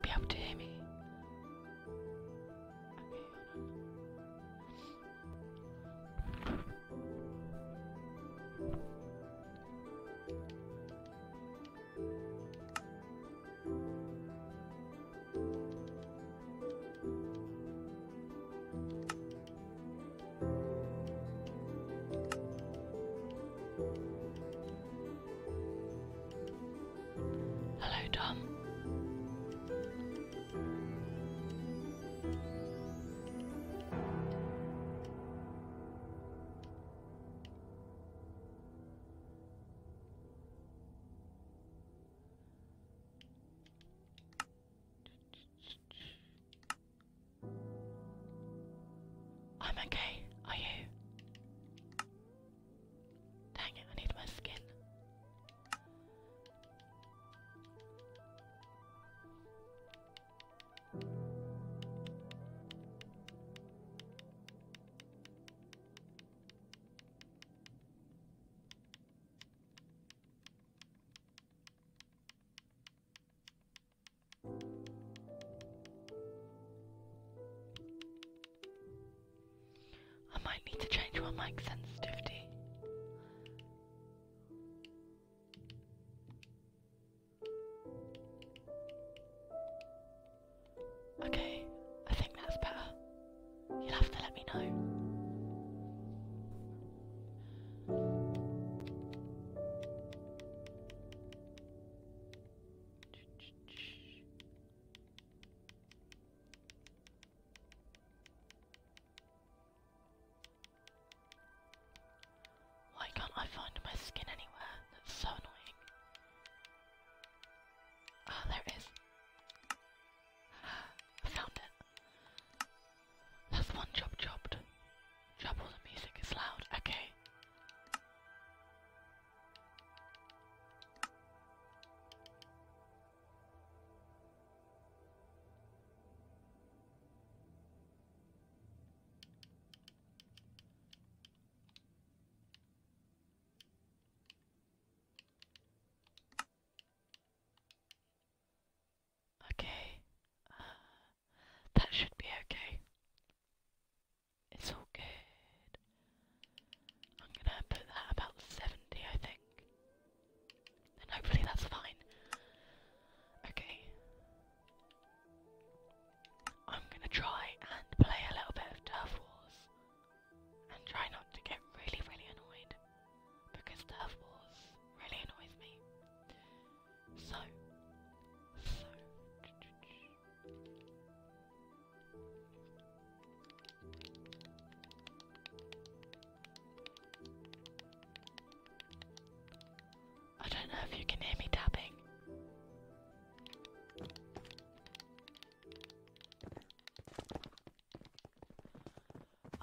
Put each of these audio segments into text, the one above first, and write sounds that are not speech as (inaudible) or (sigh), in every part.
be able to hear me. Hello, Tom. I'm okay. Are you? Dang it, I need my skin. I might need to change my mic sensitivity. Okay, I think that's better. You'll have to let me know. Why can't I find my skin anywhere? That's so annoying. oh, there it is. I found it. That's one job chopped. Trouble the music is loud. Okay. Okay, uh, that should be okay. It's all good. I'm gonna put that about 70, I think. And hopefully that's fine. Okay. I'm gonna try and play a little bit of Turf Wars. And try not to get really, really annoyed. Because Turf Wars really annoys me. So. So. I don't know if you can hear me tapping.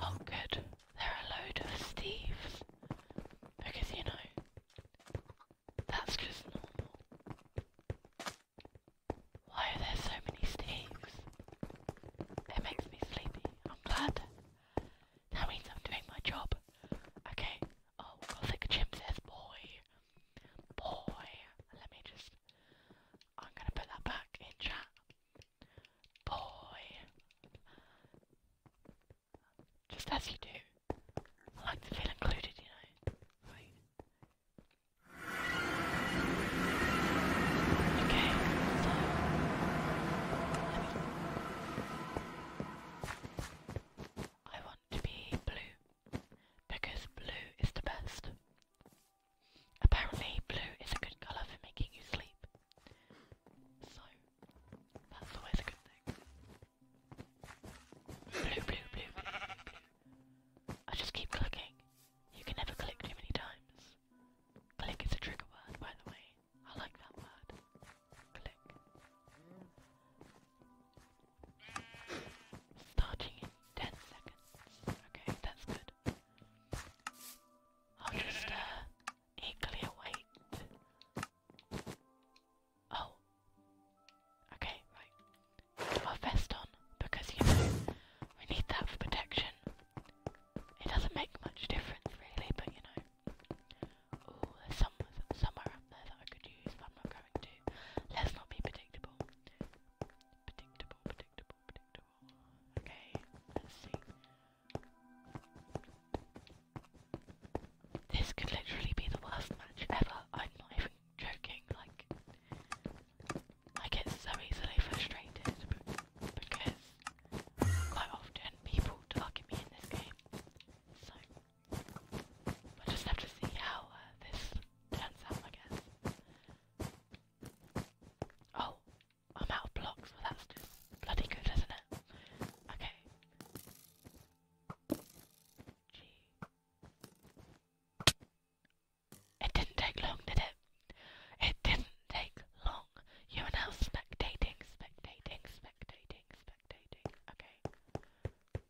Oh, good. There are a load of Steves. Because, you know, that's just normal. Why are there so many steaks? It makes me sleepy. I'm glad. That means I'm doing my job. Okay. Oh, Gothic Jim says boy. Boy. Let me just... I'm gonna put that back in chat. Boy. Just as you do. I like to feel included, you know. Right. Okay, so me, I want to be blue because blue is the best. Apparently, blue is a good colour for making you sleep. So, that's always a good thing. Blue, blue, blue, I just keep clicking. You can never click too many times. Click is a trigger word, by the way. I like that word. Click. Starting in 10 seconds. Okay, that's good. I'll just, uh, eagerly await Oh. Okay, right. Put our vest on because you know we need that for protection. It doesn't make much difference really, but you know. Oh, there's somewhere up there that I could use, but I'm not going to. Let's not be predictable. Predictable, predictable, predictable. Okay, let's see. This could literally be the worst match ever. I'm not joking, like, I get so easily frustrated because quite often people target me in this game. So, we just have to see how uh, this turns out, I guess. Oh, I'm out of blocks, that's bloody good, isn't it? Okay. It didn't take long, did it? It didn't take long. You are now spectating, spectating, spectating, spectating. Okay.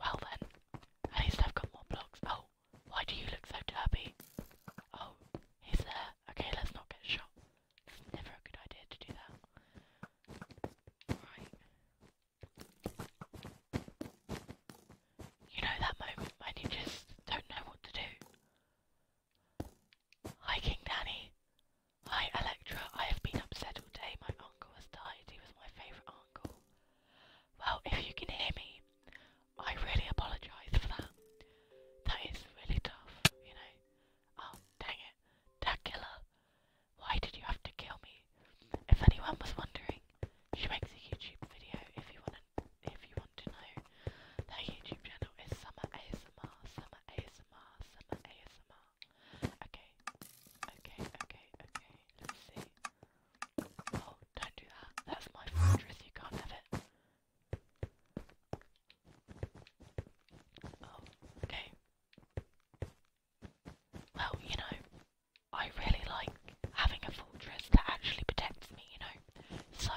Well then, at least I've got more blocks. Oh, why do you look so dirty? Oh, he's there. Okay, let's not get shot. It's never a good idea to do that. You know that moment when you just don't know what to do. Hi King Danny. Hi Electra. I have been upset all day. My uncle has died. He was my favourite uncle. Well, if you can hear me, I really apologise for that. That is really tough, you know. Oh, dang Dracula, why did you have to kill me? If anyone was wondering, she makes a YouTube video if you want to, if you want to know. Their YouTube channel is Summer ASMR, Summer ASMR, Summer ASMR. Okay, okay, okay, okay, let's see. Oh, don't do that. That's my fortress, you can't have it. Oh, okay. Well, you know, I really like having a fortress that actually protects me, you know. So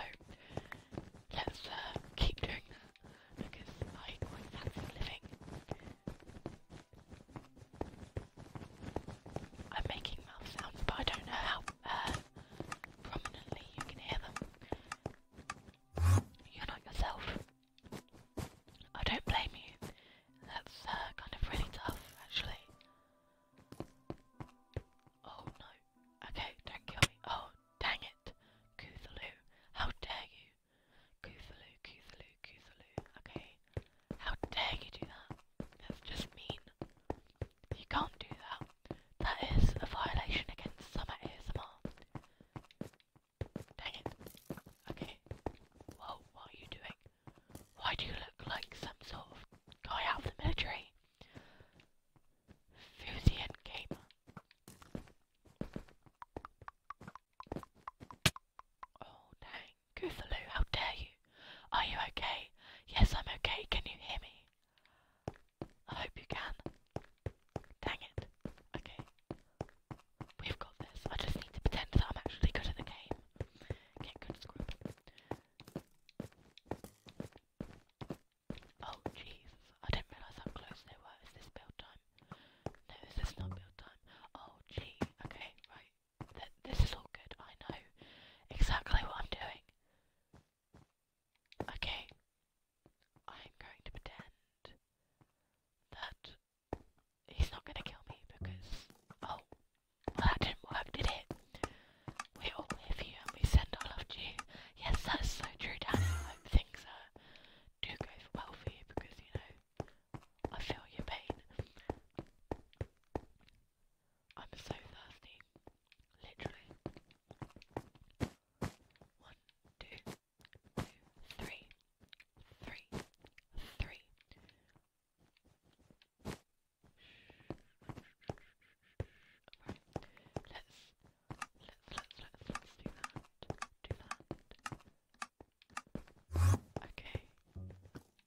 let's uh, keep doing that because I quite fancy living. I'm making mouth sounds, but I don't know how uh, prominently you can hear them. You're not yourself. I don't blame you. That's uh, kind of really tough, actually. Oh no. Okay, don't kill me. Oh, dang it. Cthulhu, how dare you? Cthulhu, Cthulhu, Cthulhu. Okay. How dare you do that? That's just mean. You can't do that. That is a violation against Summer ASMR. Dang it. Okay. Whoa, what are you doing? Why do you look like some sort of guy out of the military? Fusian gamer. Oh dang, Goofaloo, how dare you? Are you okay? Yes, I'm okay. Can you hear me? I hope you can. Dang it. Okay. We've got this. I just need to pretend that I'm actually good at the game. Get good Oh, Jesus. I didn't realise how close they were. Is this build time? No, is not build time? Oh, gee. Okay, right. this is all good. I know exactly what I'm doing. Okay, I'm going to pretend that he's not gonna kill me because oh well, that didn't work, did it? We all live here and we send our love to you. Yes, that's so true, Danny. things do go well for you because you know I feel your pain. I'm so thirsty. Literally. One, two, three, three, three. Right. Let's let's let's let's let's do that. Do that. Okay.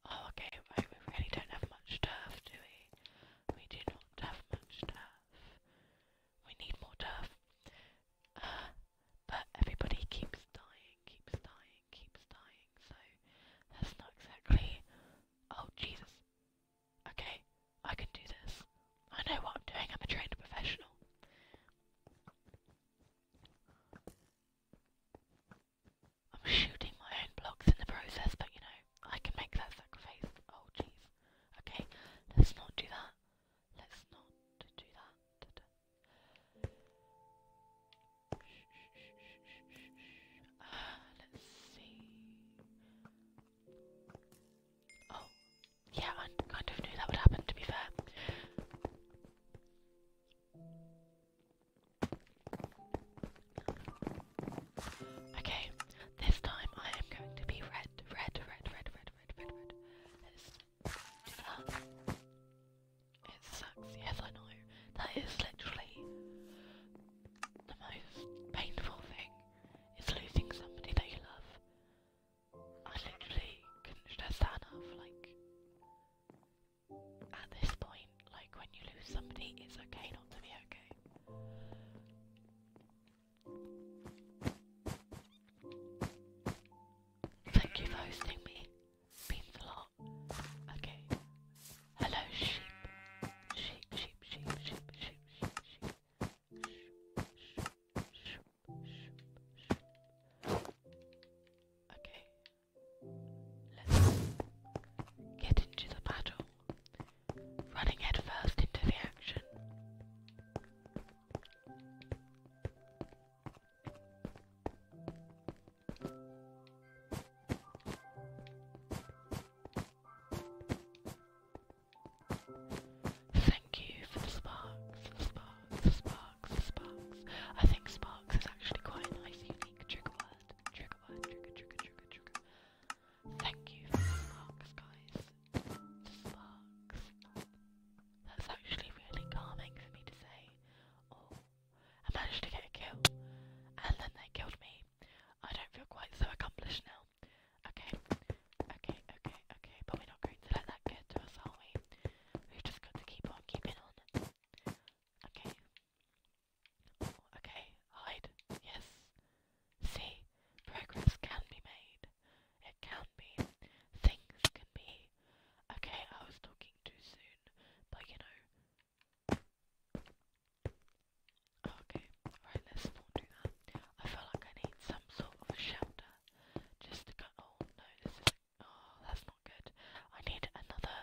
Oh okay, right, we really don't have much turf, do we? We do not have much turf. We need more turf. (sighs) but everybody keeps dying, keeps dying, keeps dying, so that's not exactly. Oh, Jesus. Okay, I can do this. I know what I'm doing, I'm a trained professional. I'm shooting my own blocks in the process, but you know, I can make that sacrifice. Oh, jeez. Okay, let's not do that. Let's not do that. let's see. Oh, yeah, I kind of knew that would happen, to be fair. Okay, this time I am going to be red, red, red, red, red, red, red, red. It sucks, yes I know. That is literally the most painful thing, It's losing somebody that you love. I literally can not stress that enough, like, at this point, like, when you lose somebody, it's okay not to be okay. Thank you for hosting me. Means a lot. Okay. Hello, sheep. Sheep, sheep, sheep, sheep, sheep, sheep, Okay. Let's get into the battle. Running headfirst into the action. Thank you for the sparks, sparks, sparks, sparks. I think sparks is actually quite a nice, unique trigger word. Trigger word, trigger, trigger, trigger, trigger. Thank you for the sparks, guys. sparks. That's actually really calming for me to say. Oh, I managed to get a and then they killed me. I don't feel quite so accomplished now. Okay, okay, okay, okay, but we're not going to let that get to us, are we? We've just got to keep on keeping on. Okay. Oh, okay, hide. Yes. See, progress can be made. It can be. Things can be. Okay, I was talking too soon, but you know. Okay, right, let's not do that. I feel like I need some sort of shelter. Just to go. Oh no, this is. Oh, that's not good. I need another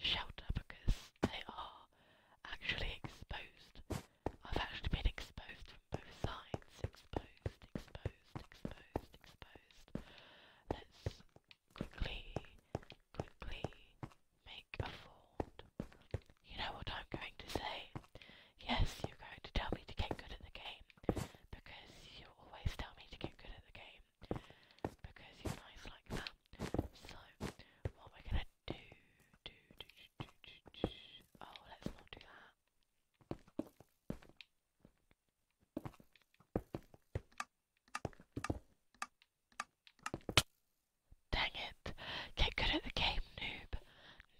shelter because they are actually exposed. I've actually been exposed from both sides. Exposed, exposed exposed, exposed. Let's quickly, quickly make a fort. You know what I'm going to say? Yes, you're going to tell me to get good at the game. Because you always tell me to get good at the game. Because you're nice like that. So, what we're gonna do. Oh, let's not do that. Dang it. Get good at the game, noob.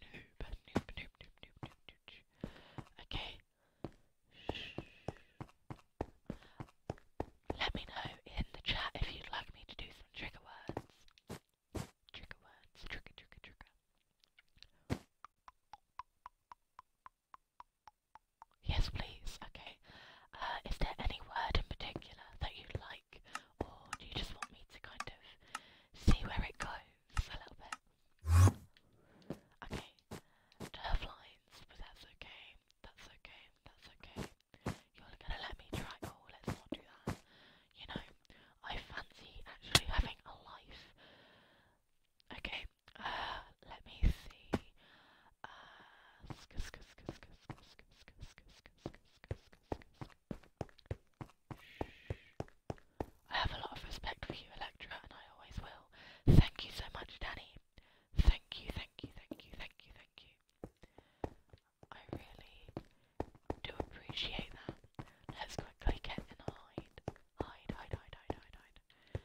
Noob, noob, noob, noob, noob, noob, noob. Okay. Let me know in the chat if you'd like me to do some trigger words. Trigger words. Trigger, trigger, trigger. Yes, please. Okay. Uh, is there any word in particular that you like, or do you just want me to kind of see where it goes a little bit? Okay. Turf lines, but that's okay. That's okay. That's okay. You're gonna let me try. Oh, let's not do that. You know, I fancy actually having a life Okay, let me see. I have a lot of respect for you, Electra, and I always will. Thank you so much, Danny. Thank you, thank you, thank you, thank you, thank you. I really do appreciate that. Let's quickly get in hide. Hide, hide, hide, hide, hide, hide.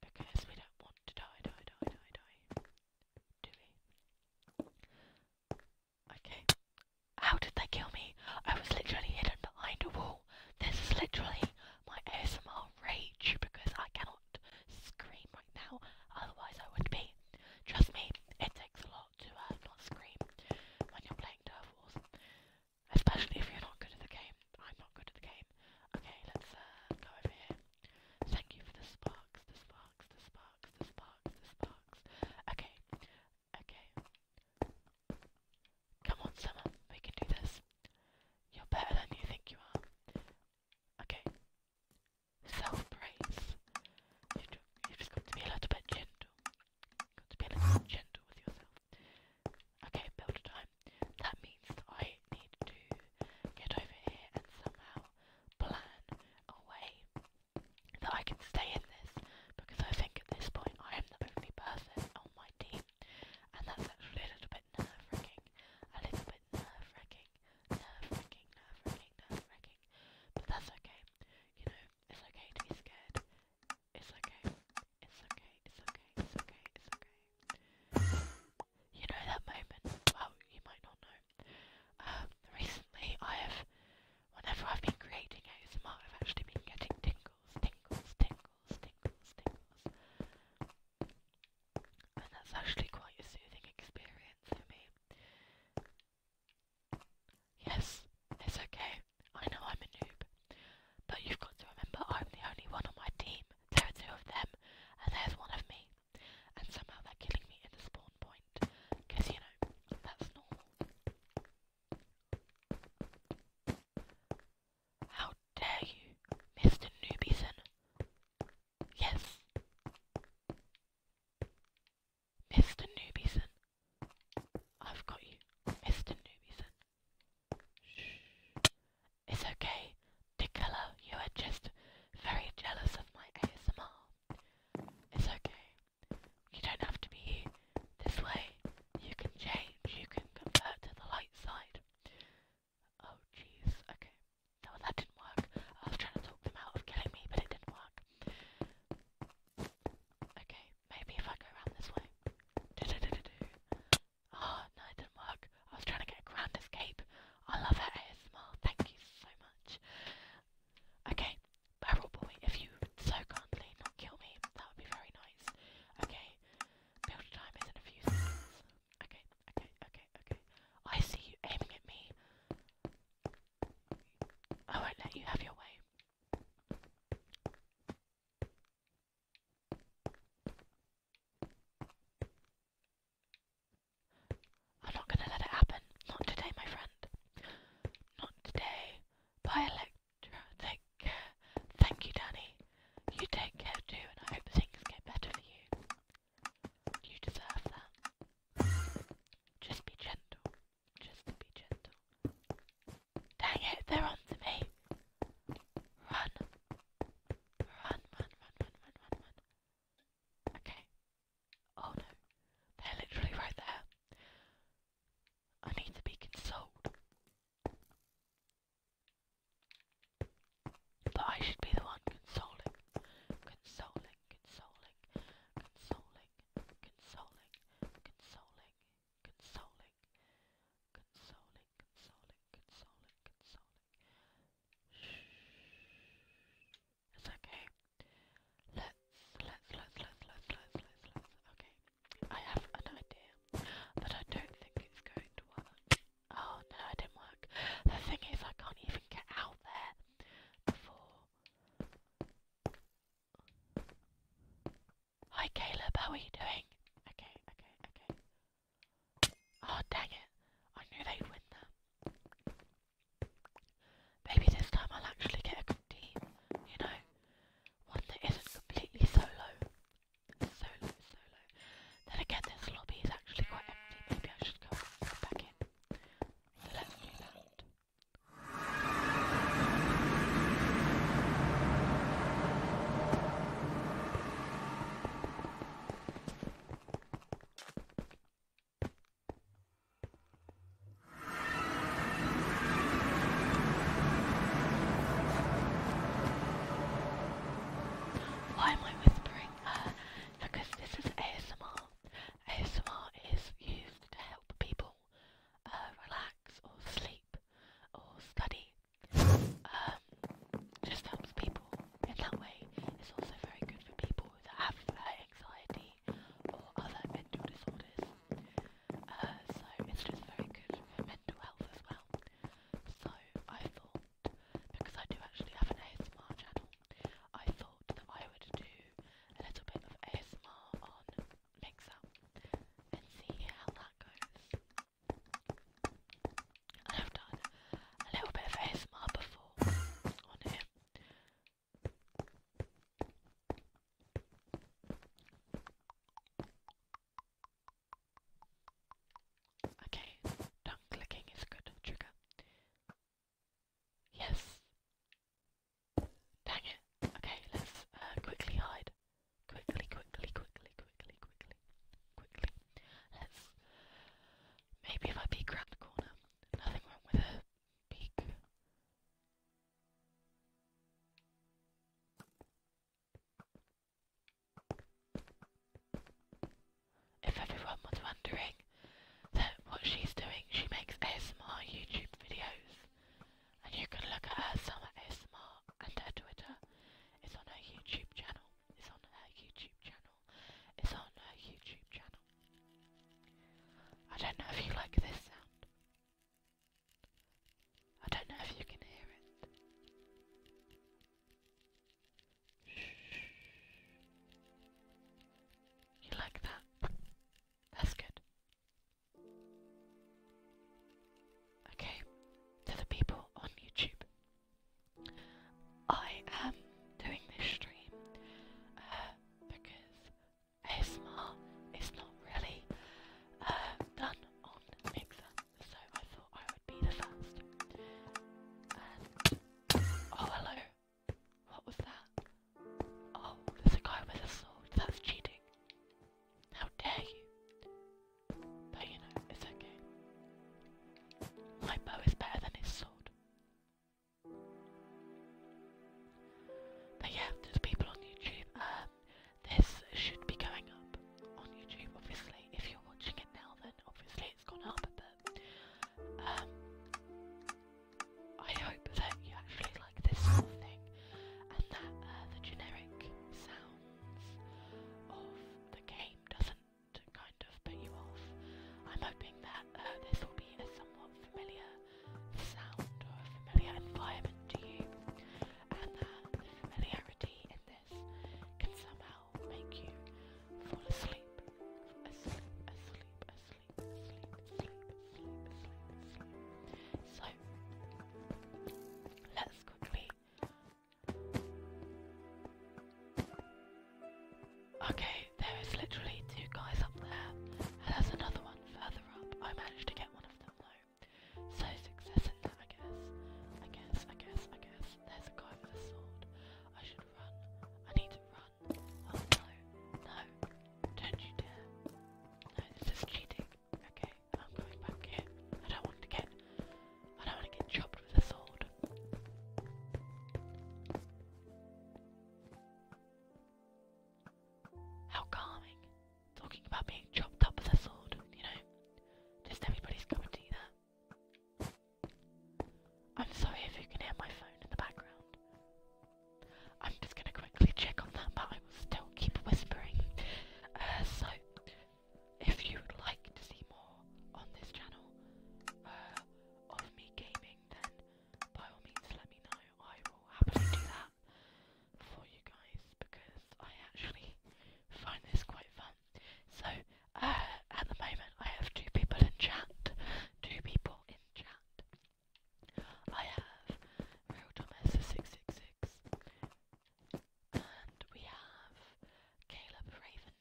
Because we don't want to die, die, die, die, die. Do we? Okay. How did they kill me? I was literally hidden behind a wall. This is literally my ASMR rage because I cannot scream right now, otherwise I would be. Trust me, it takes a lot to uh, not scream when you're playing Turf Wars. Especially if you're not good at the game. I'm not good at the game. Okay, let's uh, go over here. Thank you for the sparks, the sparks, the sparks, the sparks, the sparks. Okay, okay. Come on, Summer, we can do this. You're better than you think you are. Okay. Self-praise. You've got to be a little bit gentle to be a little gentle with yourself. Okay, build time. That means that I need to get over here and somehow plan a way that I can stay in this because I think at this point I am the only person on my team and that's actually a little bit nerve wracking. A little bit nerve wracking, nerve wracking, nerve wracking, nerve wracking. But that's okay. You know, it's okay to be scared. It's okay. It's okay. It's okay. It's okay. It's okay. You know that moment? Well, you might not know. Um, recently I have, whenever I've been creating ASMR, I've actually been getting tingles, tingles, tingles, tingles, tingles. And that's actually quite a soothing experience for me. Yes, it's okay. I know I'm a noob. But you've got to remember I'm the only one on my team. There are two of them, and there's one of me. And somehow they're killing me in the spawn point. Because, you know, that's normal. How dare you, Mr. Noobieson? Yes. Mr. Newbieson. I've got you, Mr. Newbieson. Shh. It's okay, Dickella. You are just very jealous of my ASMR. It's okay. You don't have to be here. this way. You can change. You can convert to the light side. Oh, jeez. Okay. No, that didn't work. I was trying to talk them out of killing me, but it didn't work. Okay. Maybe if I go around this way. Do ah, no, it didn't work. I was trying to get a escape. I love her ASMR. Thank you so much. Okay, Barrel Boy, if you so kindly not kill me, that would be very nice. Okay, build time is in a few seconds. Okay, okay, okay, okay. I see you aiming at me. I won't let you have your way. I'm not gonna let it happen. Not today, my friend. Not today. Bye, Electra. Take care. Thank you, Danny. You take care too, and I hope things get better for you. You deserve that. Just be gentle. Just be gentle. Dang it, they're on to me. Run. Run, run, run, run, run, run, Okay. Oh no. They're literally right there. I need to be consoled. But I should be the one consoling. Consoling, consoling, consoling, consoling, consoling, consoling, consoling, consoling, consoling, consoling, consoling. Shh. It's okay. Let's, let's, let's, let's, let's, let's, let's, Okay. I have an idea, but I don't think it's going to work. Oh no, it didn't work. The thing is, I can't even get out there before. Hi Caleb, how are you doing? Okay, okay, okay. Oh dang it. I knew they'd win that. Maybe this time I'll actually get a team, you know? One that isn't completely solo. Solo, solo. Then again, this lobby is actually quite empty. Maybe I should go back in. let's do that. Why am I whispering? Uh, because this is ASMR. ASMR is used to help people school, uh, relax or sleep or study. Um, just helps people in that way. It's also very good for people that have uh, anxiety or other mental disorders. Uh, so it's just very good for mental health as well. So I thought, because I do actually have an ASMR channel, I thought that I would do a little bit of ASMR on mix up and see how that goes. I've done a little bit of ASMR before on it. Okay, tongue clicking is good trigger. Yes. Dang it. Okay, let's uh, quickly hide. Quickly, quickly, quickly, quickly, quickly, quickly. Let's. Maybe if I peek around the corner. Nothing wrong with a peek. If everyone was wondering what she's doing, she makes ASMR YouTube videos and you can look at her summer ASMR and her Twitter. It's on her YouTube channel. It's on her YouTube channel. It's on her YouTube channel. I don't know if you like this sound. I don't know if you can hear it. You like that? That's good. Okay, to the people on YouTube. I am doing this stream uh, because ASMR is not really uh, done on Mixer, so I thought I would be the first. oh hello, what was that? Oh, there's a guy with a sword. That's cheating. How dare you? But you know, it's okay. My bow is better than his sword. But yeah, to people on YouTube, um, this should be going up on YouTube, obviously. If you're watching it now, then obviously it's gone up, um, I hope that you actually like this thing and that uh, the generic sounds of the game doesn't kind of put you off. I'm hoping that uh, this will be a somewhat familiar sound or a familiar environment to you and that the familiarity in this can somehow make you fall asleep, asleep, asleep, asleep, asleep, asleep. So let's quickly. Okay, there is literally two guys up there, and there's another one further up. I managed to get one of them though. So success in that, I guess. I guess, I guess, I guess. There's a guy with a sword. I should run. I need to run. Oh no, no. Don't you dare. No, this is cheating. Okay, I'm going back here. I don't want to get I don't want to get chopped with a sword. How calming. Talking about being chopped up with a sword, you know? Just everybody's cup of tea there. I'm sorry if you can hear my phone in the background. I'm just going to quickly check on that, but I will still keep whispering. Uh, so, if you would like to see more on this channel uh, of me gaming, then by all means let me know. I will happily do that for you guys because I actually find this quite fun. So, uh, at the moment, I have two people in chat. Two people in chat. I have Real Thomas 666 and we have Caleb Raven,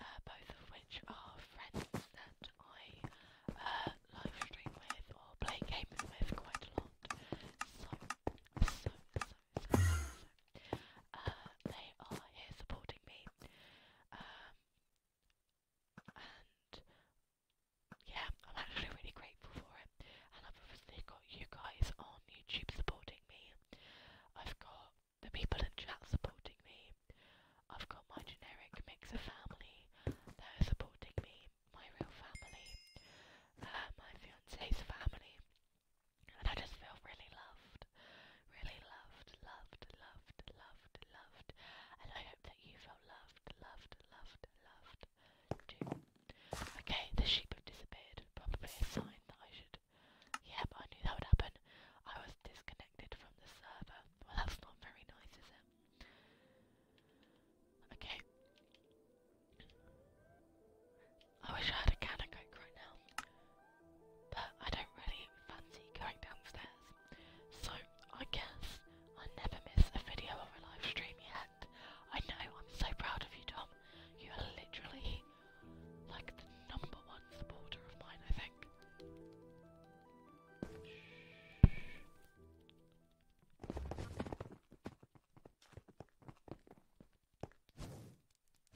uh, both of which are friends that I uh, live stream with or play gaming with quite a lot. So, uh, they are here supporting me. Um, yeah, I'm actually really grateful for it. And I've obviously got you guys on YouTube supporting me. I've got the people in chat supporting me. I've got my generic mixer family that are supporting me, my real family, uh, my fiance's family. And I just feel really loved. Really loved, loved, loved, loved, loved. And I hope that you feel loved, loved, loved, loved, Okay, the sheep have disappeared. Probably a sign that I should. Yep, I knew that would happen. I was disconnected from the server. Well, that's not very nice, is it? Okay. I wish I had a can of coke right now, but I don't really fancy going downstairs. So I guess I never miss a video or a live stream yet. I know, I'm so proud of you, Tom. You are literally like the number one supporter of mine, I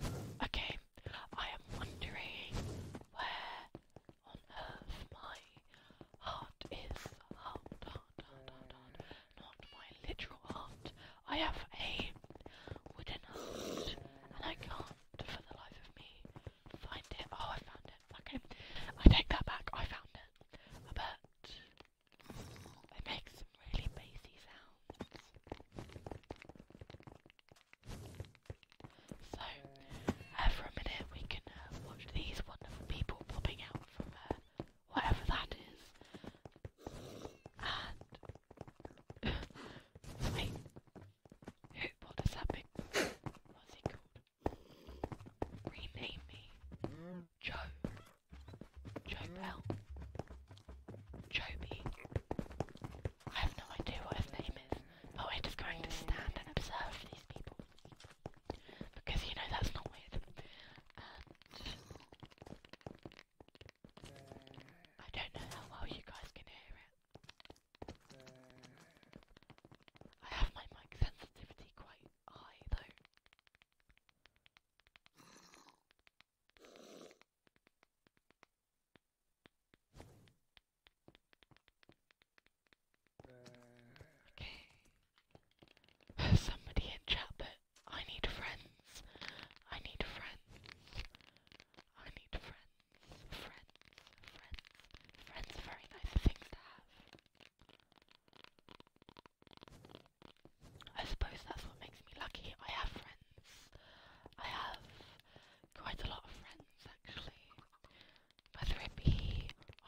think. Okay, I am wondering where on earth my Heart is heart, heart, heart, heart, heart. Not my literal heart. I have a wooden heart, and I can't for the life of me find it. Oh, I found it. Okay, I take that back. I found it. But it makes some really bassy sounds. So, uh, for a minute, we can uh, watch these wonderful people popping out from whatever that is. wait, who? What does that big? What's he called? Rename me Joe. Joe Bell. Joby. I have no idea what his name is, but we're just going to stand and observe these people. Because you know that's not weird. I don't know how well you guys can hear it. I have my mic sensitivity quite high though. Okay. Somebody in chat that I need friends. I need friends. I need friends. Friends. Friends. Friends are very nice things to have. I suppose that's what makes me lucky. I have friends. I have quite a lot of friends actually whether it be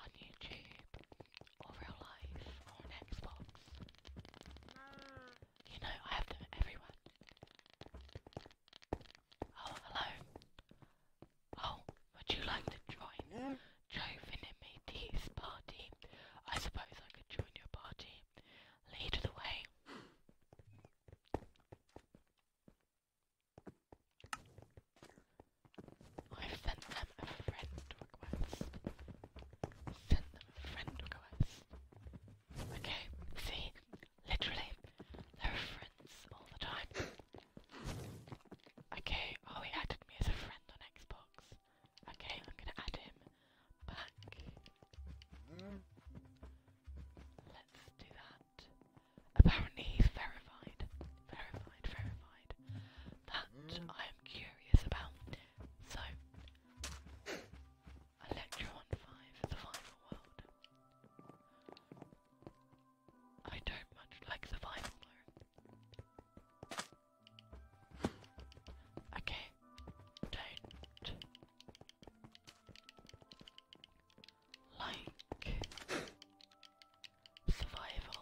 on YouTube or real life or Xbox. You know, I have them everyone. Oh, hello. Oh, would you like to join Joe Finn and me party? I suppose I could join your party. Lead the way. I've them a friend request. Sent them a friend request. Okay, see? Literally, they're friends all the time. Okay, oh he added me as a friend on Xbox. Okay, I'm gonna add him back. Let's do that. Apparently he's verified. Verified, verified that I am curious about. So, Electron 5, the final world. I don't much like the final though. Okay, don't like survival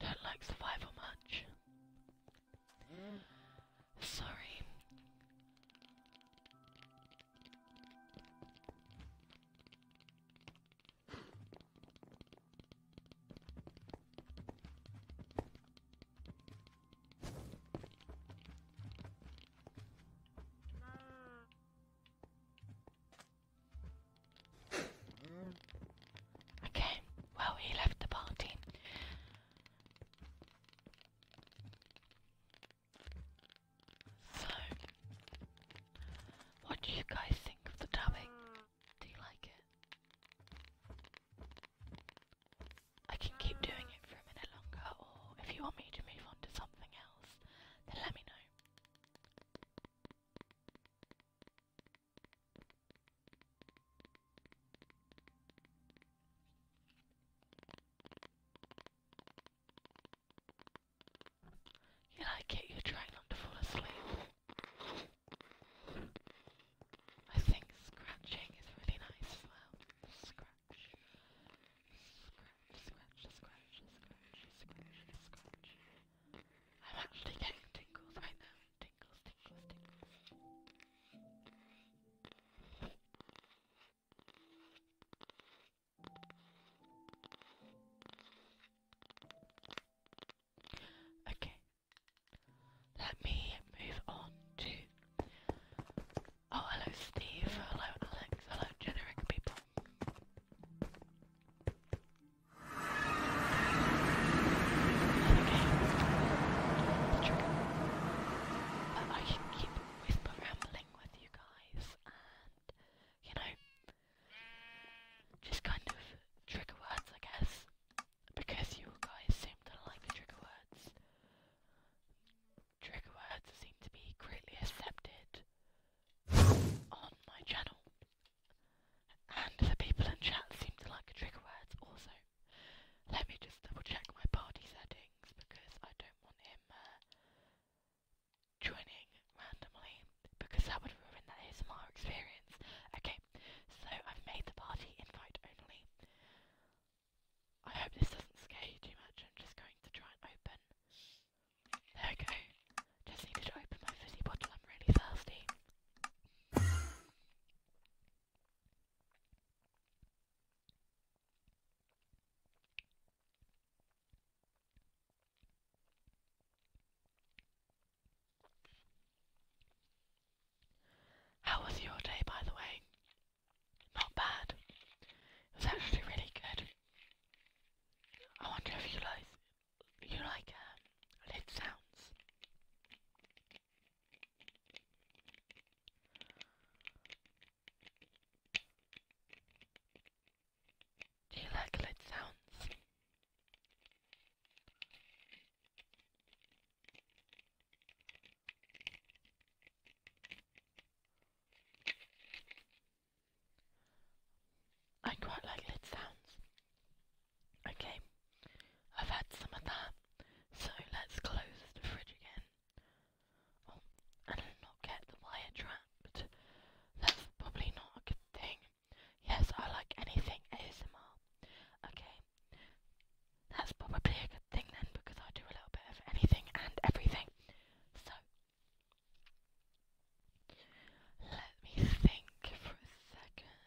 don't like survival much. Sorry. Okay, well, he left the party. So, what do you guys think of the dubbing? Do you like it? I can keep doing it for a minute longer, or if you want me to move on to something else, then let me know. You like it? You're trying not to fall asleep. I think scratching is really nice as well. Scratch, scratch, scratch, scratch, scratch, scratch, scratch. I'm actually getting tingles right now. Tingles, tingles, tingles. Okay, let me move on to. Oh, hello, Steve. Hello, Alex. Hello, generic people. Okay. But I can keep whisper rambling with you guys and, you know, just kind of trigger words, I guess because you guys seem to like the trigger words. Trigger words seem to be greatly accepted on my channel. And the people in chat seem to like trigger words also. Let me just double check my party settings because I don't want him uh, joining randomly because that would ruin that ASMR experience. Okay, so I've made the party invite only. I hope this doesn't scare you too much. I'm just going to try and open. There we go. Just needed to open my fizzy bottle. I'm really thirsty. How was your day, by the way? Not bad. It was actually really good. I wonder if you like you like um, lid sounds. Do you like lid sounds? I quite like lid sounds. Okay, I've had some of that, so let's close the fridge again. Oh, and not get the wire trapped. That's probably not a good thing. Yes, I like anything ASMR. Okay. That's probably a good thing then because I do a little bit of anything and everything. So, let me think for a second.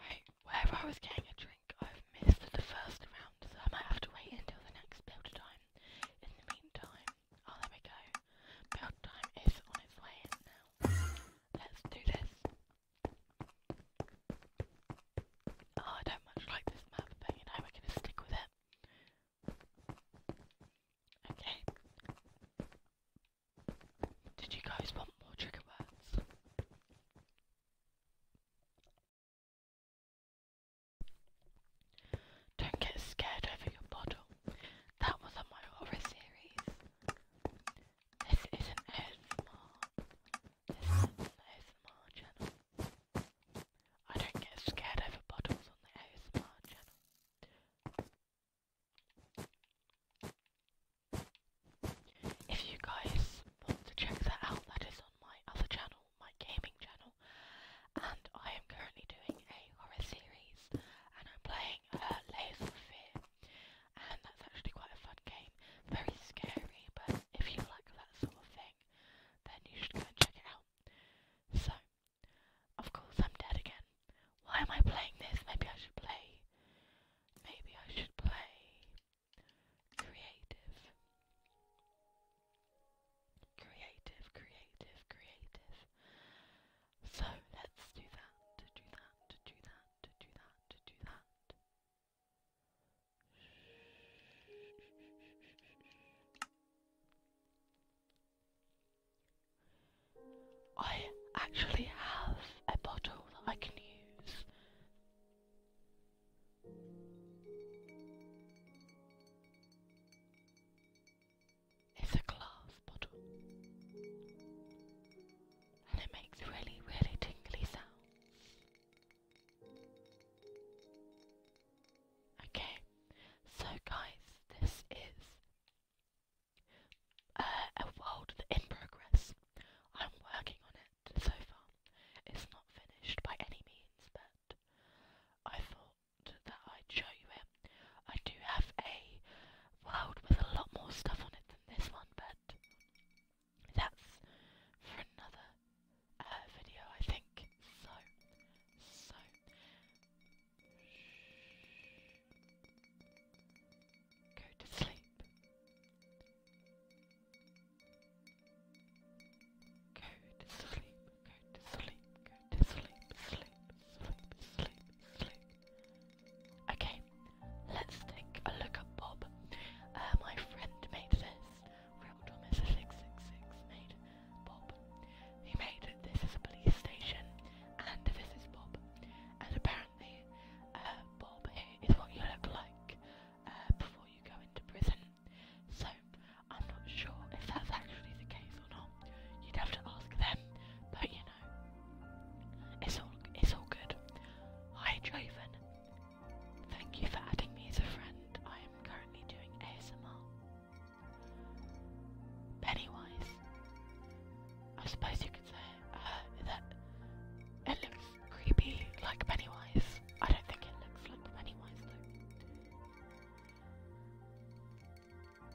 Right, where I was getting a drink, I've missed the first round, so I might have to wait until the next build time. In the meantime, oh, there we go. Build time is on its way in now. Let's do this. Oh, I don't much like this map, but you know, we're gonna stick with it. Okay. Did you guys want more trigger words? Don't get scared over your bottle. That was on my horror series. This is an ASMR. This is an ASMR channel. I don't get scared over bottles on the ASMR channel. If you guys want to check that out, that is on my other channel, my gaming channel. And I am currently doing a horror series and I'm playing a Layers of Fear and that's actually quite a fun game. Very scary, but if you like that sort of thing, then you should go and check it out. So, of course, I'm dead again. Why am I playing this? Maybe I should play. Maybe I should play. Creative. Creative, creative, creative. So let's do that, do that, do that, do that, do that. I actually have a bottle that I can use. It's a glass bottle. And it makes really, really tingly sounds. Okay, so guys, this is uh, a world in progress. I'm working on it so far. It's not finished by any means, but I thought that I'd show you it I do have a world with a lot more stuff on it than this one, but that's for another uh, video, I think. So, so. Go to sleep. Go to sleep, go to sleep, go to sleep, sleep, sleep, sleep, sleep. Okay, let's take a look at Bob. Uh, my friend made this. Real Thomas 666 made Bob. He made This is a police station, and this is Bob. And apparently, uh, Bob here is what you look like uh, before you go into prison. So, I'm not sure if that's actually the case or not. You'd have to ask them, but you know. It's all it's all good. Hi Draven. Thank you for adding me as a friend. I am currently doing ASMR. Pennywise. I suppose you could say uh, that it looks creepy like Pennywise. I don't think it looks like Pennywise though.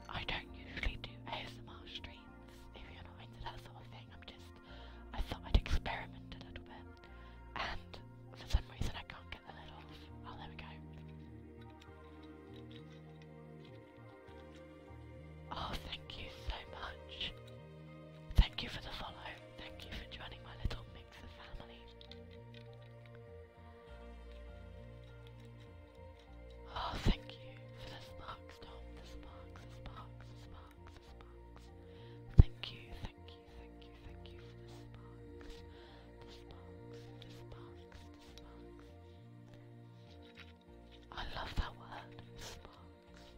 I don't usually do ASMR streams if you're not into that sort of thing. I'm just, I thought I'd experiment a little bit, and for some reason I can't get the lid off. Oh, there we go. Oh, thank you so much. Thank you for the follow. Thank you for joining my little mixer family. Oh, thank you for the sparks, Tom. The sparks, the sparks, the sparks, the Thank you, thank you, thank you, thank you for the sparks. The sparks, the sparks, the sparks. I love that word, sparks.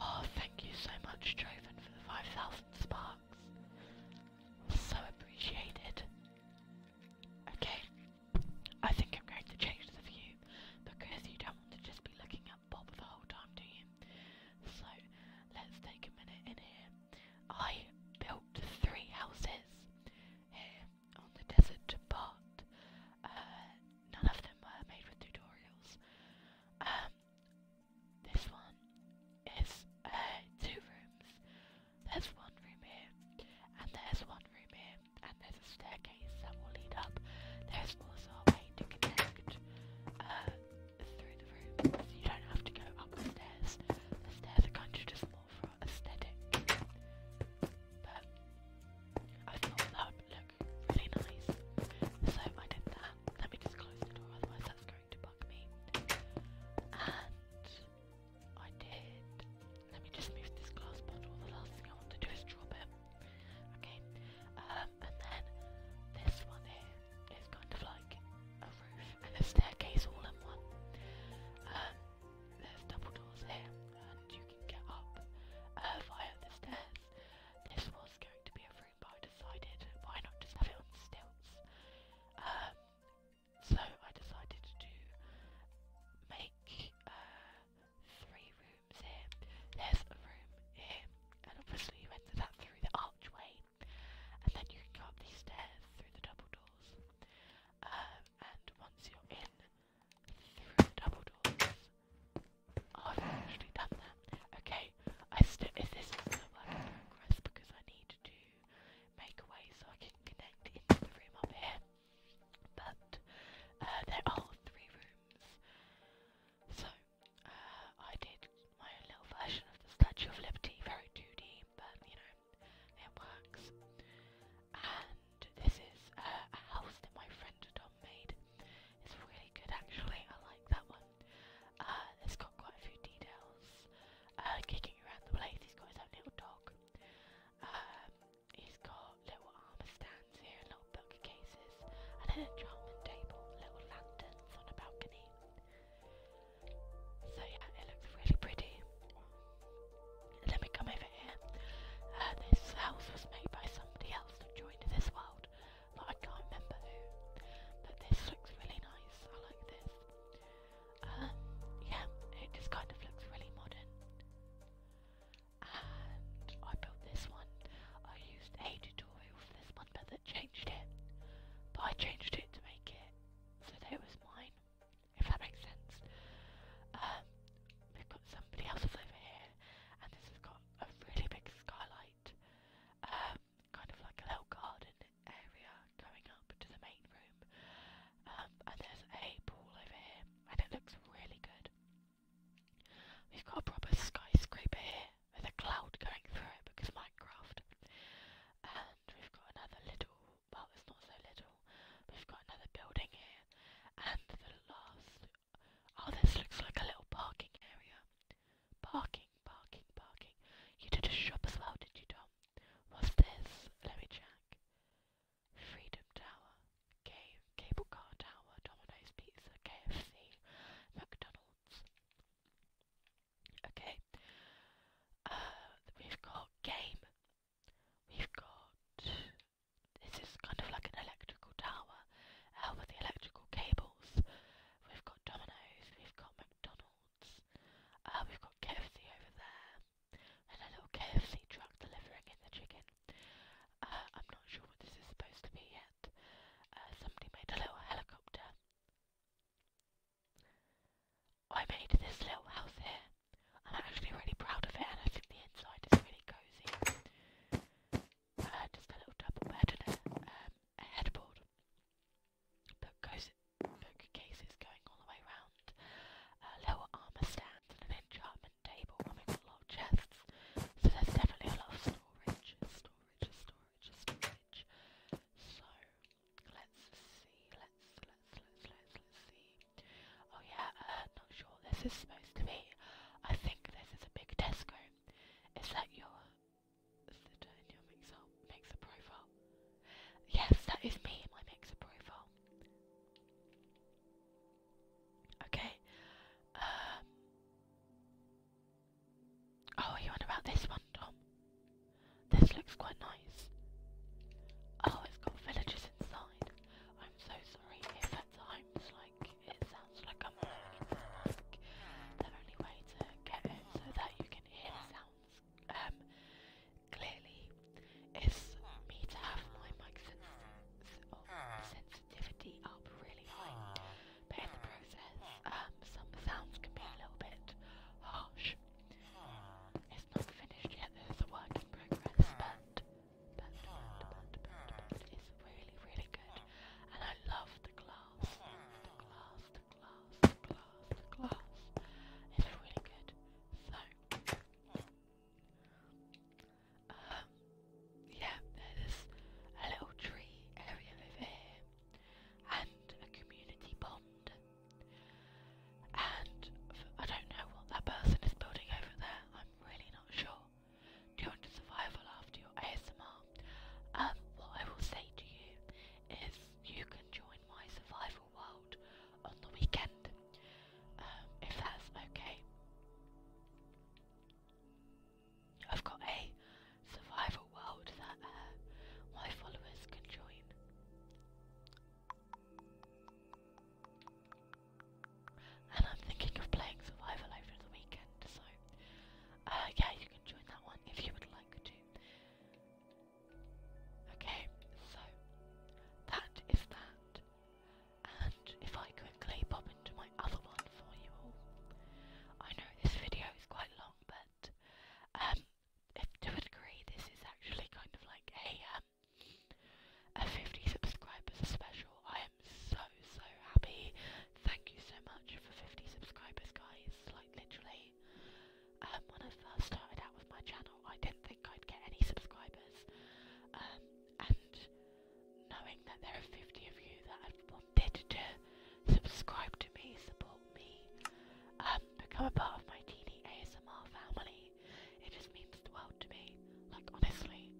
Oh, thank you so much, Draven, for the 5,000 sparks. So appreciated. Okay, I think I'm going to change the view because you don't want to just be looking at Bob the whole time, do you? So let's take a minute in here. I built three houses here on the desert, but uh, none of them were made with tutorials. Um, this one is uh, two rooms. There's one room here, and there's one room here, and there's a staircase that will lead up. There's also a way to connect uh, through the rooms. So you don't have to go up the stairs. The stairs are kind of just more for aesthetic. But I thought that would really nice. So I did that. Let me just close the door, otherwise that's to bug me. And I did. Let me just move this glass bottle. The last thing I want to do is drop it. Okay. Um, and then this one here is kind of like a roof and a staircase all in one. Um, there's double doors here, and you can get up uh, via the stairs. This was going to be a but I decided why not just have it on stilts. Um, so I decided to make uh, three rooms here. There's a room here, and obviously you enter that through the archway, and then you go up these stairs through the double doors. Um, and once you're in through the double doors, I've actually done that. Okay, I still if this is a work in progress because I need to make a way so I can connect into the room up here. But uh, there are three rooms, so uh, I did my own little version of the Statue of Liberty, very 2D, but you know it works. And this is uh, a house that my friend Tom made. It's really good actually. I like that one. Uh, it's got quite a few details. Uh, kicking around the place, he's got his own little dog. Um, he's got little armor stands here, and little bookcases, and an enchantment table, little lanterns on a balcony. So yeah, it looks really pretty. And then come over here. Uh, this house was made by somebody else that joined this world, but I can't remember who. But this looks really nice. I like this. Um, yeah, it just kind of looks really modern. And I built this one. I used a tutorial for this one, but that changed it. But I changed it to make it so that it was mine, if that makes sense. Um, we've got somebody else's over here, and this has got a really big skylight. Um, kind of like a little garden area going up to the main room. Um, and there's a pool over here, and it looks really good. We've got a proper skyscraper here with a cloud going through it because Minecraft. And we've got another little, well, it's not so little, we've got another building here. And the last, oh, this looks like a little parking area. Parking, parking, parking. You did a shop as well, did you, Tom? What's this? Let me check. Freedom Tower. Game, Cable Car Tower, Domino's Pizza, KFC, McDonald's. Okay. Uh, we've got game. We've got. This is kind of like an electrical tower uh, with the electrical cables. We've got Domino's, we've got McDonald's. Uh, we've got KFC over there, and a little KFC truck delivering in the chicken. Uh, I'm not sure what this is supposed to be yet. Uh, somebody made a little helicopter. I made this little house here. I'm actually really proud of it, and I think the inside is really cozy. just a little double bed and a um, headboard. Book, goes, going all the way around. A lower armor stand and an enchantment table. I mean, a lot of chests. So there's definitely a lot of storage, storage, storage, storage. So let's see. Let's let's let's let's let's see. Oh yeah, uh, not sure. This is supposed to be. I think this is a big Tesco. Is that your Yes, that is me, in my mixer profile. Okay. Um. Oh, you on about this one, Tom? This looks quite nice. Oh, it's got villages inside. I'm so sorry if like, it sounds like I'm can sounds um, clearly is me to have my mic sensitivity up really high. But in the process, um, some sounds can be a little bit harsh. It's not finished yet, there's a work in progress, but, it's really, really good. And I love the glass, glass, glass, glass. It's really good. So, yeah, there's a little tree area over here, and a community pond. And um, uh, I don't know what that person is building over there. I'm really not sure. Do you want to survival after your ASMR? Um, what I will say to you is you can join my survival world on the weekend, um, if that's okay. I've got a survival world that uh, my followers can join. And I'm thinking of playing survival over the weekend, so uh, yeah, you can join that one if you would like to. Okay, so that is that. And if I quickly pop into my other one for you all, I know this video is quite long, but um, if to a degree, this is actually kind of like a um, a 50 subscribers special. I am so so happy. Thank you so much for 50 subscribers, guys. Like literally, um, when I first started out with my channel, I didn't think I'd get any subscribers. Um, and knowing that there are 50 of you that have wanted to subscribe to me, support me, um, become a part of my teeny ASMR family, it just means the world to me. Like, honestly,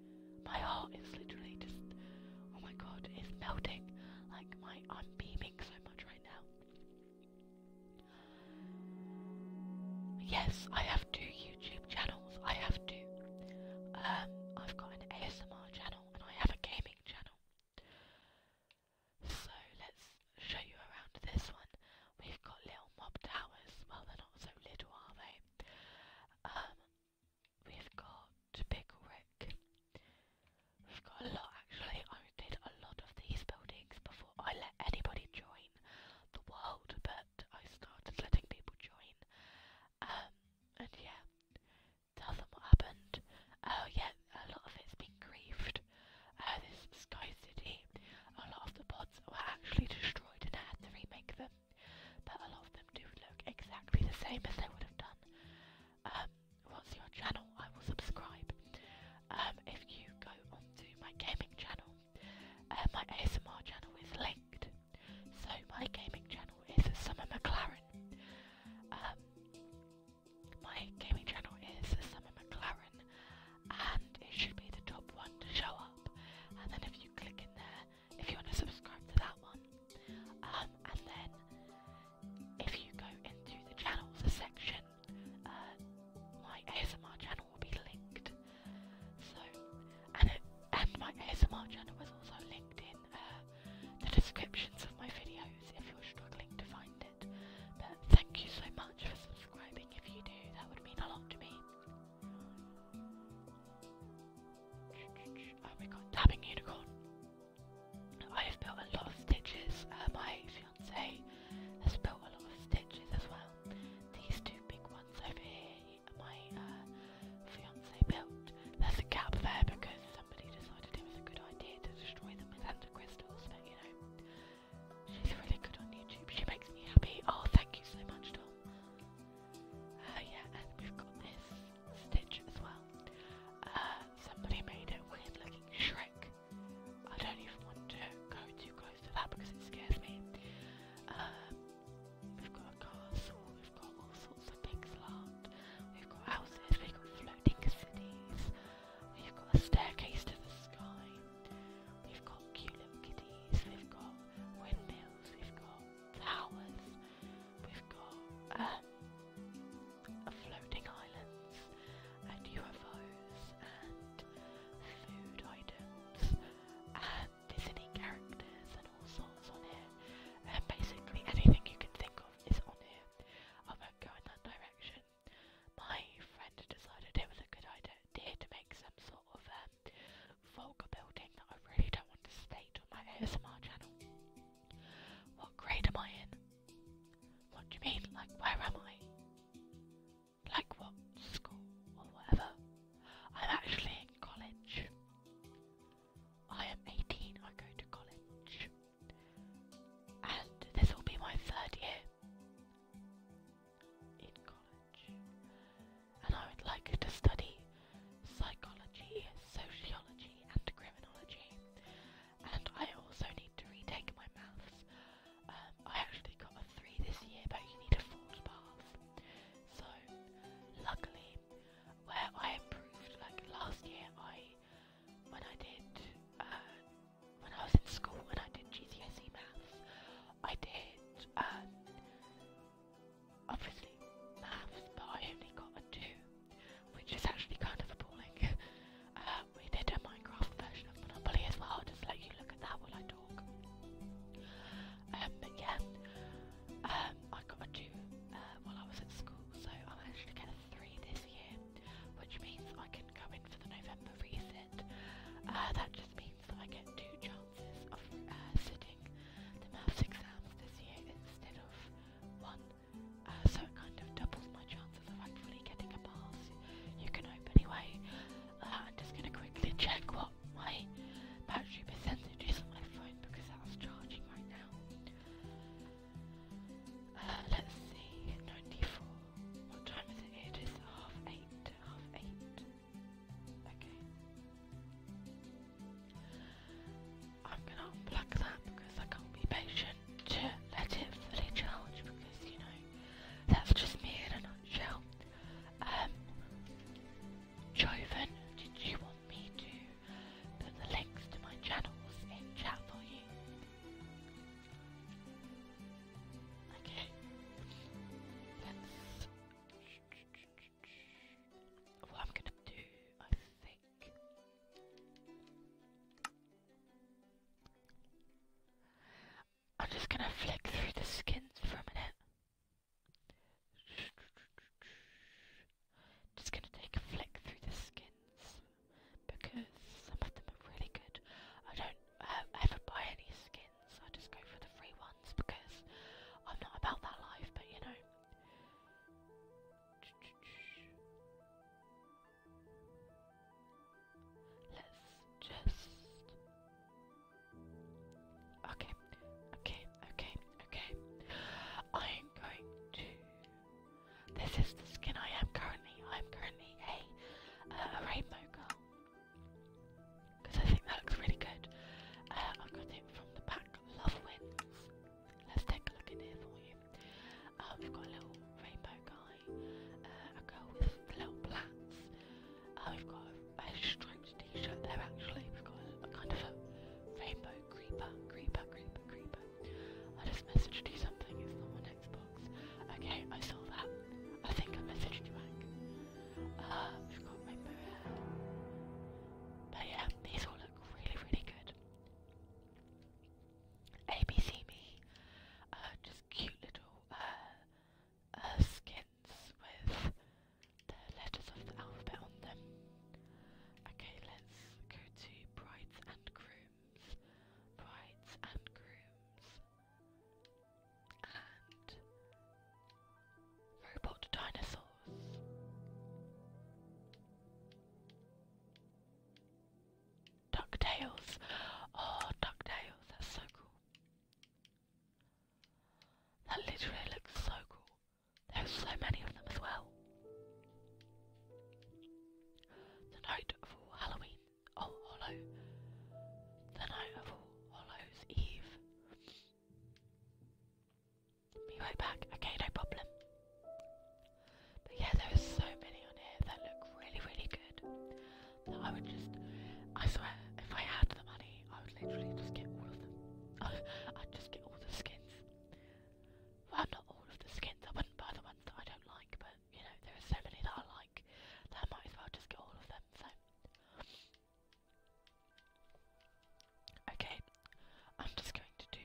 my heart is literally just, oh my god, it's melting. Like, my, I'm beaming so much right now. Yes, I have two YouTube channels. I have two. Um, I've got an ASMR channel and I have a gaming channel. So let's show you around this one. We've got little mob towers. Well, they're not so little, are they? Um, we've got to Pickle Rick. We've got a lot actually. I did a lot of these buildings before I let anybody join the world, but I started letting people join. Um, and yeah, tell them what happened. Oh, yeah, a lot of it's been griefed. Uh, this Sky City, a lot of the pods were actually destroyed and I had to remake them, but a lot of them do look exactly the same as they would have done. Um, what's your channel, I will subscribe. Um, if you go onto my gaming channel, uh, my ASMR channel is linked. So my gaming channel is Summer McLaren. Um, my gaming channel is Summer McLaren, and it should be the top one to show up. And then if you click in there, if you want to subscribe to that one, um, and then if you go into the channels section, uh, my ASMR channel will be linked. So, and my ASMR channel is also linked in uh, the descriptions of my videos if you're struggling to find it. But thank you so much for subscribing. If you do, that would mean a lot to me. Oh my god, dabbing unicorn. I've built a lot of stitches. Uh, my fiance has built a lot of stitches as well. These two big ones over here, my uh, fiance built. There's a gap there because somebody decided it was a good idea to destroy them with ender crystals, but you know, she's really good on YouTube. She makes me happy. Oh, thank you so much, Tom. Uh, yeah, and we've got this Stitch as well. Uh, somebody made a weird looking Shrek. I don't even want to go too close to that because it scares me. Um, we've got a castle, we've got all sorts of things land, we've got houses, we've got floating cities, we've got a staircase to the sky, we've got cute little kitties, we've got windmills, we've got flowers, we've got uh, floating islands and UFOs and food items and Disney characters and all sorts on here. And basically anything you can think of is on here. I am gonna go in that direction. My friend decided it was a good idea to make some sort of um, vulgar building that I really don't want to state on my ASMR channel. What grade am I in? What do you mean? Like, where am I? Like, what school or whatever? I'm actually in college. I am 18, I go to college. And this will be my third year in college. And I would like to study psychology, sociology, and criminology and I also need to retake my maths. Um, I actually got a 3 this year, but you need a 4 to So, luckily, where I improved, like last year, I when I did uh, when I was in school when I did GCSE maths, I did um, obviously maths, but I only got a 2 which is actually kind of appalling. (laughs) Uh, we did a Minecraft version of Monopoly as well, just let you look at that while I talk. Um, but yeah, um, I got a two uh, while I was at school, so I managed to get a three this year, which means I can go in for the November reset. Uh, that just means that I get two chances of sitting the maths exams this year instead of one. Uh, so it kind of doubles my chances of actually getting a pass. You can hope anyway. Uh, I'm just gonna quickly (laughs) check what my battery percentage is on my phone because that was charging right now. Uh, let's see, 94. What time is it? It is half eight. Half eight. Okay. I'm gonna unplug that because I can't be patient to let it fully charge because you know that's just me in a nutshell. Um, Joven, did you want me to put the links to my channels in chat for you? Okay. Let's what I'm gonna do, I think I'm just gonna flick through the skins for a minute. Just gonna take a flick through the skins because some of them are really good. I don't ever buy any skins, I just go for the free ones because I'm not about that life, but you know. Let's just. Okay, okay, okay, okay. I'm going to. This is the skin I am currently. I'm currently a, uh, rainbow girl. Because I think that looks really good. Uh, i got it from the pack Love Wins let's take a look in here for you. Uh, we've got a little rainbow guy, uh, a girl with little plaits. Uh, we've got a, striped t-shirt there actually. We've got a, kind of a rainbow creeper, creeper, creeper, creeper. I just messaged you something. It's not on Xbox. Okay, I saw that. I think I messaged you back. we've got rainbow hair. But yeah, these all look really, really good. ABC Me, uh, just cute little uh, uh, skins with the letters of the alphabet on them. Okay, let's go to brides and grooms, brides and grooms, and robot dinosaurs. DuckTales. Oh, DuckTales, that's so cool. That literally looks so cool. There's so many of them as well. The night of all Halloween. Oh, Hollow. The night of all Hollow's Eve. Be right back. Okay, no problem. But yeah, there are so many on here that look really, really good. That I would just, I swear, if I had the money, I would literally just get all of them. (laughs) I'd just get all the skins. Well, not all of the skins. I wouldn't buy the ones that I don't like, but you know, there are so many that I like that I might as well just get all of them. So. Okay, I'm just going to do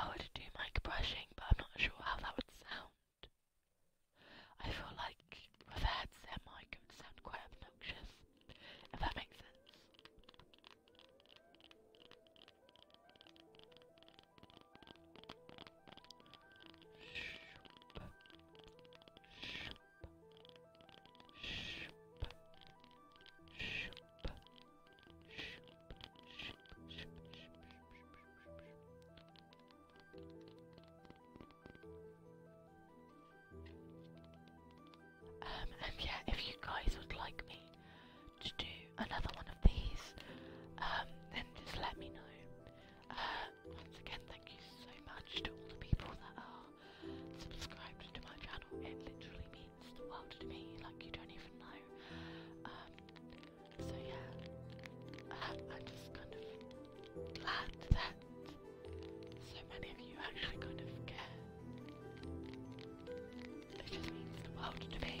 I would do mic brushing, but I'm not sure how that would sound. I feel like with a headset mic it would sound quite obnoxious, if that makes sense. Um, and yeah, if you guys would like me to do another one of these, um, then just let me know once again, thank you so much to all the people that are subscribed to my channel. It literally means the world to me, like you don't even know. Um, so yeah, um, I'm just kind of glad that so many of you actually kind of care. It just means the world to me.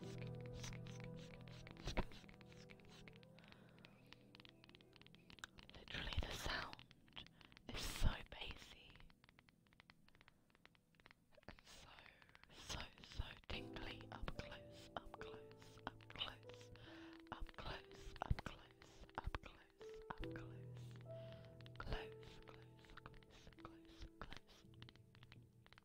Literally, the sound is so bassy and so, so, so tingly up close, up close, up close, up close, up close, up close, up close, close, close, close, close,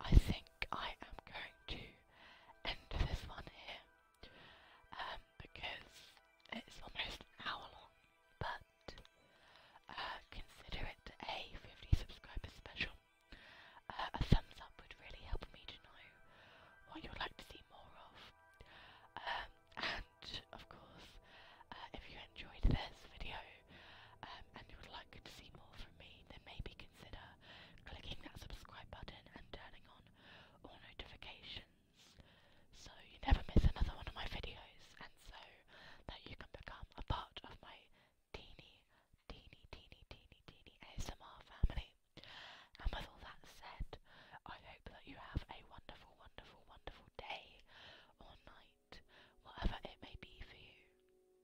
I think I am going to end this one here um, because it's almost an hour long, but uh, consider it a 50 subscribers special. Uh, a thumbs up would really help me to know what you'd like to see more of. Um, and of course, uh, if you enjoyed this video um, and you would like to see more from me, then maybe consider clicking that subscribe button and turning on all notifications so you never miss another one of my videos and so that you can become a part of my teeny, teeny, teeny, teeny, teeny ASMR family. And with all that said, I hope that you have a wonderful, wonderful, wonderful day or night, whatever it may be for you.